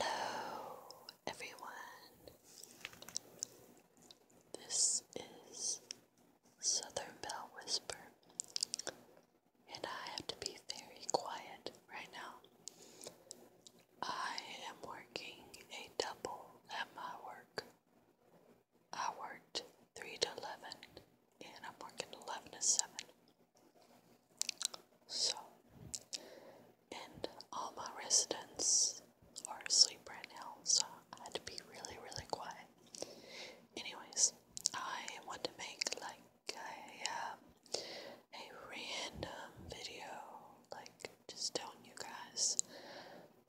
Hello, everyone. This is Southern Bell Whisper, and I have to be very quiet right now. I am working a double at my work. I worked 3 to 11, and I'm working 11 to 7. So, and all my residents are asleep right now, so I had to be really, really quiet. Anyways, I wanted to make like a, um, a random video, like just telling you guys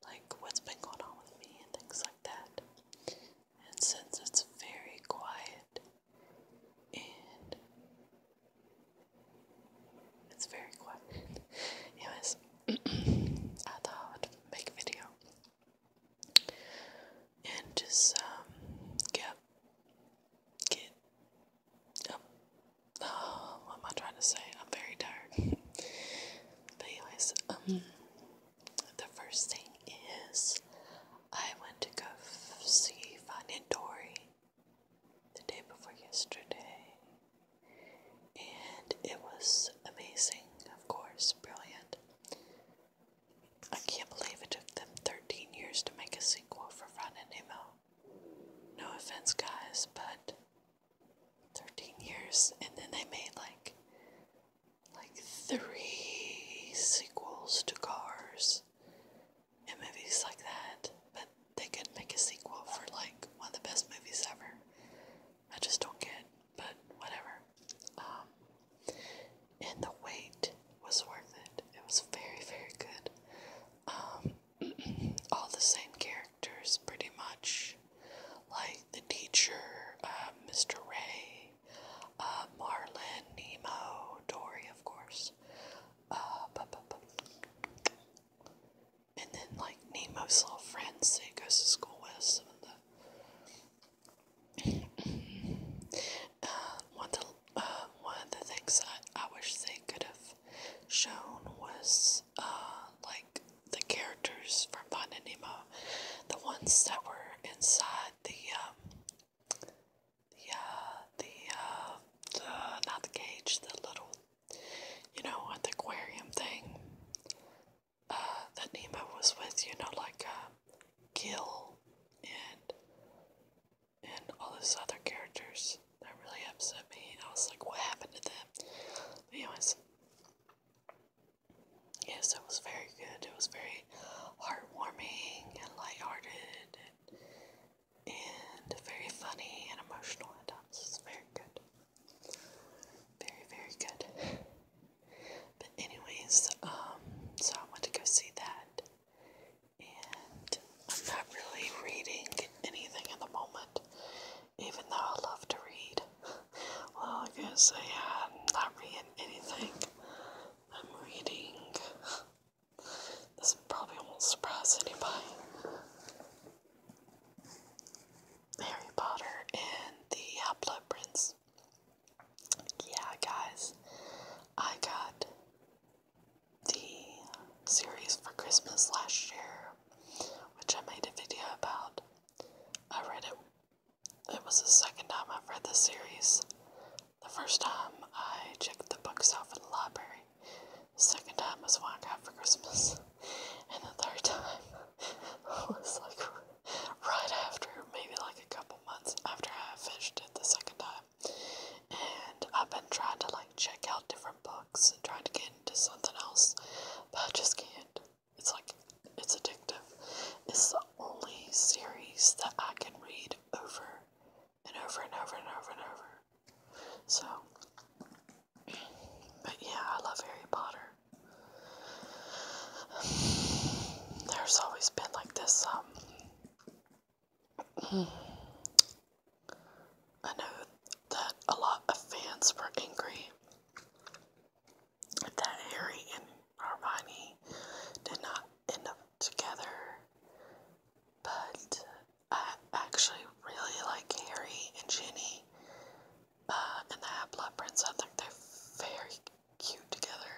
like what's been going on with me and things like that. And since it's very quiet, and it's very quiet. Anyways, I thought I would make a video and just um get get um what am I trying to say? I'm very tired. but anyways, um the first thing is I went to go see Finding Dory the day before yesterday, and it was amazing, of course, brilliant. I can't believe it took them 13 years to make a sequel for Finding Nemo. No offense, guys, but 13 years, and then they made like like three sequels to Cars in movies like that, but they could make a sequel for like one of the best movies ever. I just don't get, but whatever. Um, and the wait was worth it. It was very, very good. Um, all the same characters, pretty much, like the teacher, uh, Mr. Ray, uh, Marlin, Nemo, Dory, of course. Uh, And then, like, Nemo's little friends that he goes to school with, some of the uh, one, of the, uh, one of the things that I wish they could have shown was uh, like the characters from Finding Nemo, the ones that were inside the um, the the uh, the uh, not the cage, the little, you know, at the aquarium thing uh, that Nemo was with, you know, like uh, Gil and and all his other characters. That really upset me. I was like, what happened to them? But anyways, yes, it was very good. It was very heartwarming and light-hearted and very funny and emotional at times. It's very good. Very, very good. But anyways, um, so I want to go see that. And I'm not really reading anything at the moment, even though I love to read. Well, I guess I am not reading anything I'm reading. This probably won't surprise anybody. Harry Potter and the Half-Blood Prince. Yeah, guys, I got the series for Christmas last year, which I made a video about. I read it it was the second time I've read the series. The first time I checked the books out in the library. The second time was what I got for Christmas. And the third time was like right after, maybe like a couple months after I finished it the second time. And I've been trying to like check out different books and trying to get into something else, but I just can't. It's like it's addictive. It's the only series that I can read over and over and over and over and over. So, but yeah, I love Harry Potter. There's always been like this, um, I know that a lot of fans were angry that Harry and Hermione did not end up together, but I actually really like Harry and Ginny uh, and the Half Blood Prince. I think they're very cute together.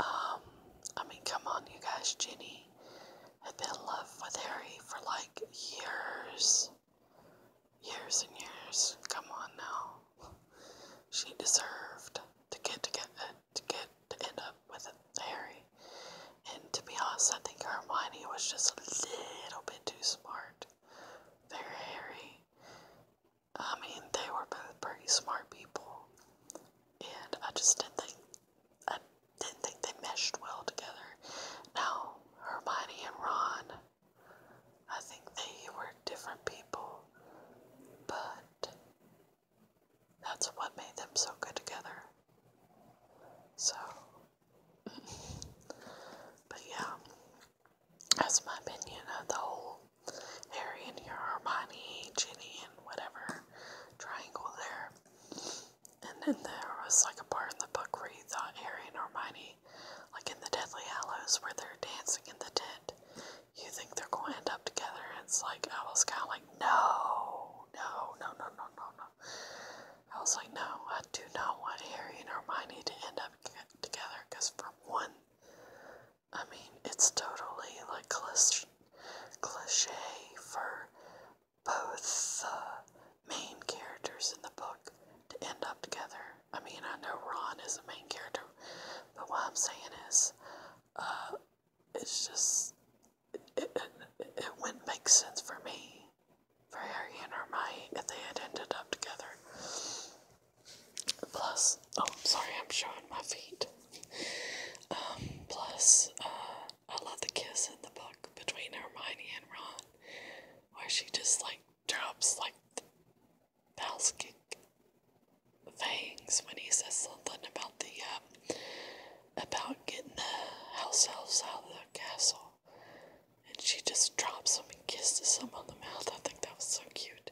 Um, I mean, come on, you guys. Ginny had been in love with Harry for like years, years and years. Come on now. She deserved to get to get to get to end up with Harry. And to be honest, I think Hermione was just a little bit too smart for Harry. I mean, they were both pretty smart people, and I just didn't think I didn't think they meshed well together. Now Hermione and Ron I think they were different people, but that's what made them so good together. So, but yeah, that's my opinion of the whole Harry and your Hermione, Ginny, and whatever triangle there. And then there was like a part in the book where you thought Harry and Hermione movie, like in The Deathly Hallows, where they're dancing in the tent. You think they're going to end up together, and it's like, I was kind of like, no, no, no, no, no, no, no. I was like, no, I do not want Harry and Hermione to end up together, because for one, I mean, it's totally like clich cliche for both the main characters in the book to end up together. I mean, I know Ron is the main character, but what I'm saying is, uh, it's just, it, it, it, it wouldn't make sense for me, for Harry and Hermione, if they had ended up together. Plus, oh, sorry, I'm showing my feet. Um, plus, uh, I love the kiss in the book between Hermione and Ron, where she just like drops like the fangs when he says something about the uh, about getting the house elves out of the castle. And she just drops him and kisses him on the mouth. I think that was so cute.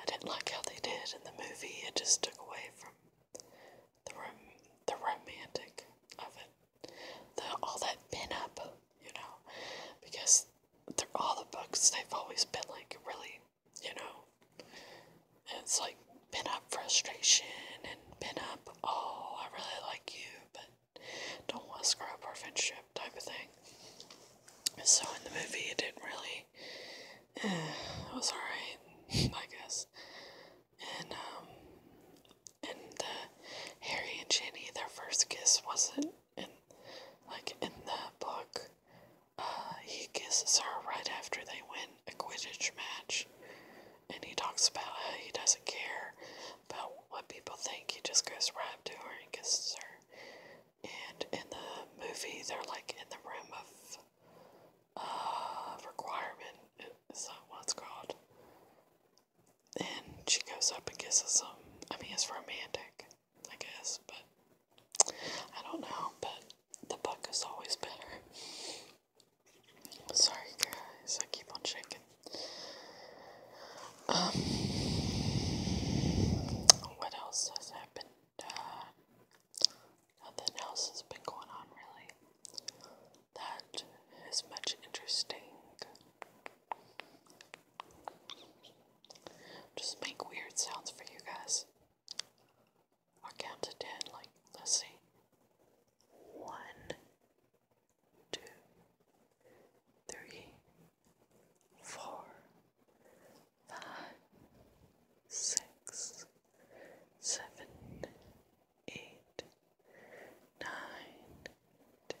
I didn't like how they did in the movie. It just took away from the rom- the romantic of it. The all that pin up, you know, because through all the books, they've always been like really, you know, it's like been up frustration and been up, oh, I really like you, but don't want to screw up our friendship type of thing. So in the movie, it didn't really, eh, it was alright, I guess. And, um, and uh, Harry and Ginny, their first kiss wasn't in like in the book. Uh, he kisses her right after they win a Quidditch match, and he talks about how he doesn't care about what people think. He just goes right to her and kisses her. And in the movie, they're like in the room of uh, requirement. Is that what called? And she goes up and kisses him. I mean, it's romantic, I guess, but I don't know. But the book is always better. Sorry, guys, I keep on shaking. Um, what else has happened? Uh, nothing else has been going on, really. That is much interesting. Just make weird sounds for you guys. I'll count to ten, like, let's see. One, two, three, four, five, six, seven, eight, nine, ten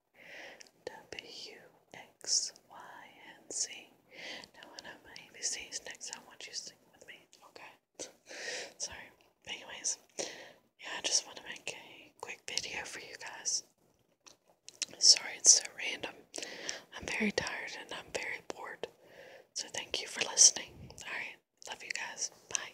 W, X, Y, and Z. Now, I'm my ABCs next, I want you to sing with me, okay? Sorry. Anyways, yeah, I just want to make a quick video for you guys. Sorry, it's so random. I'm very tired and I'm very bored. So, thank you for listening. Alright, love you guys. Bye.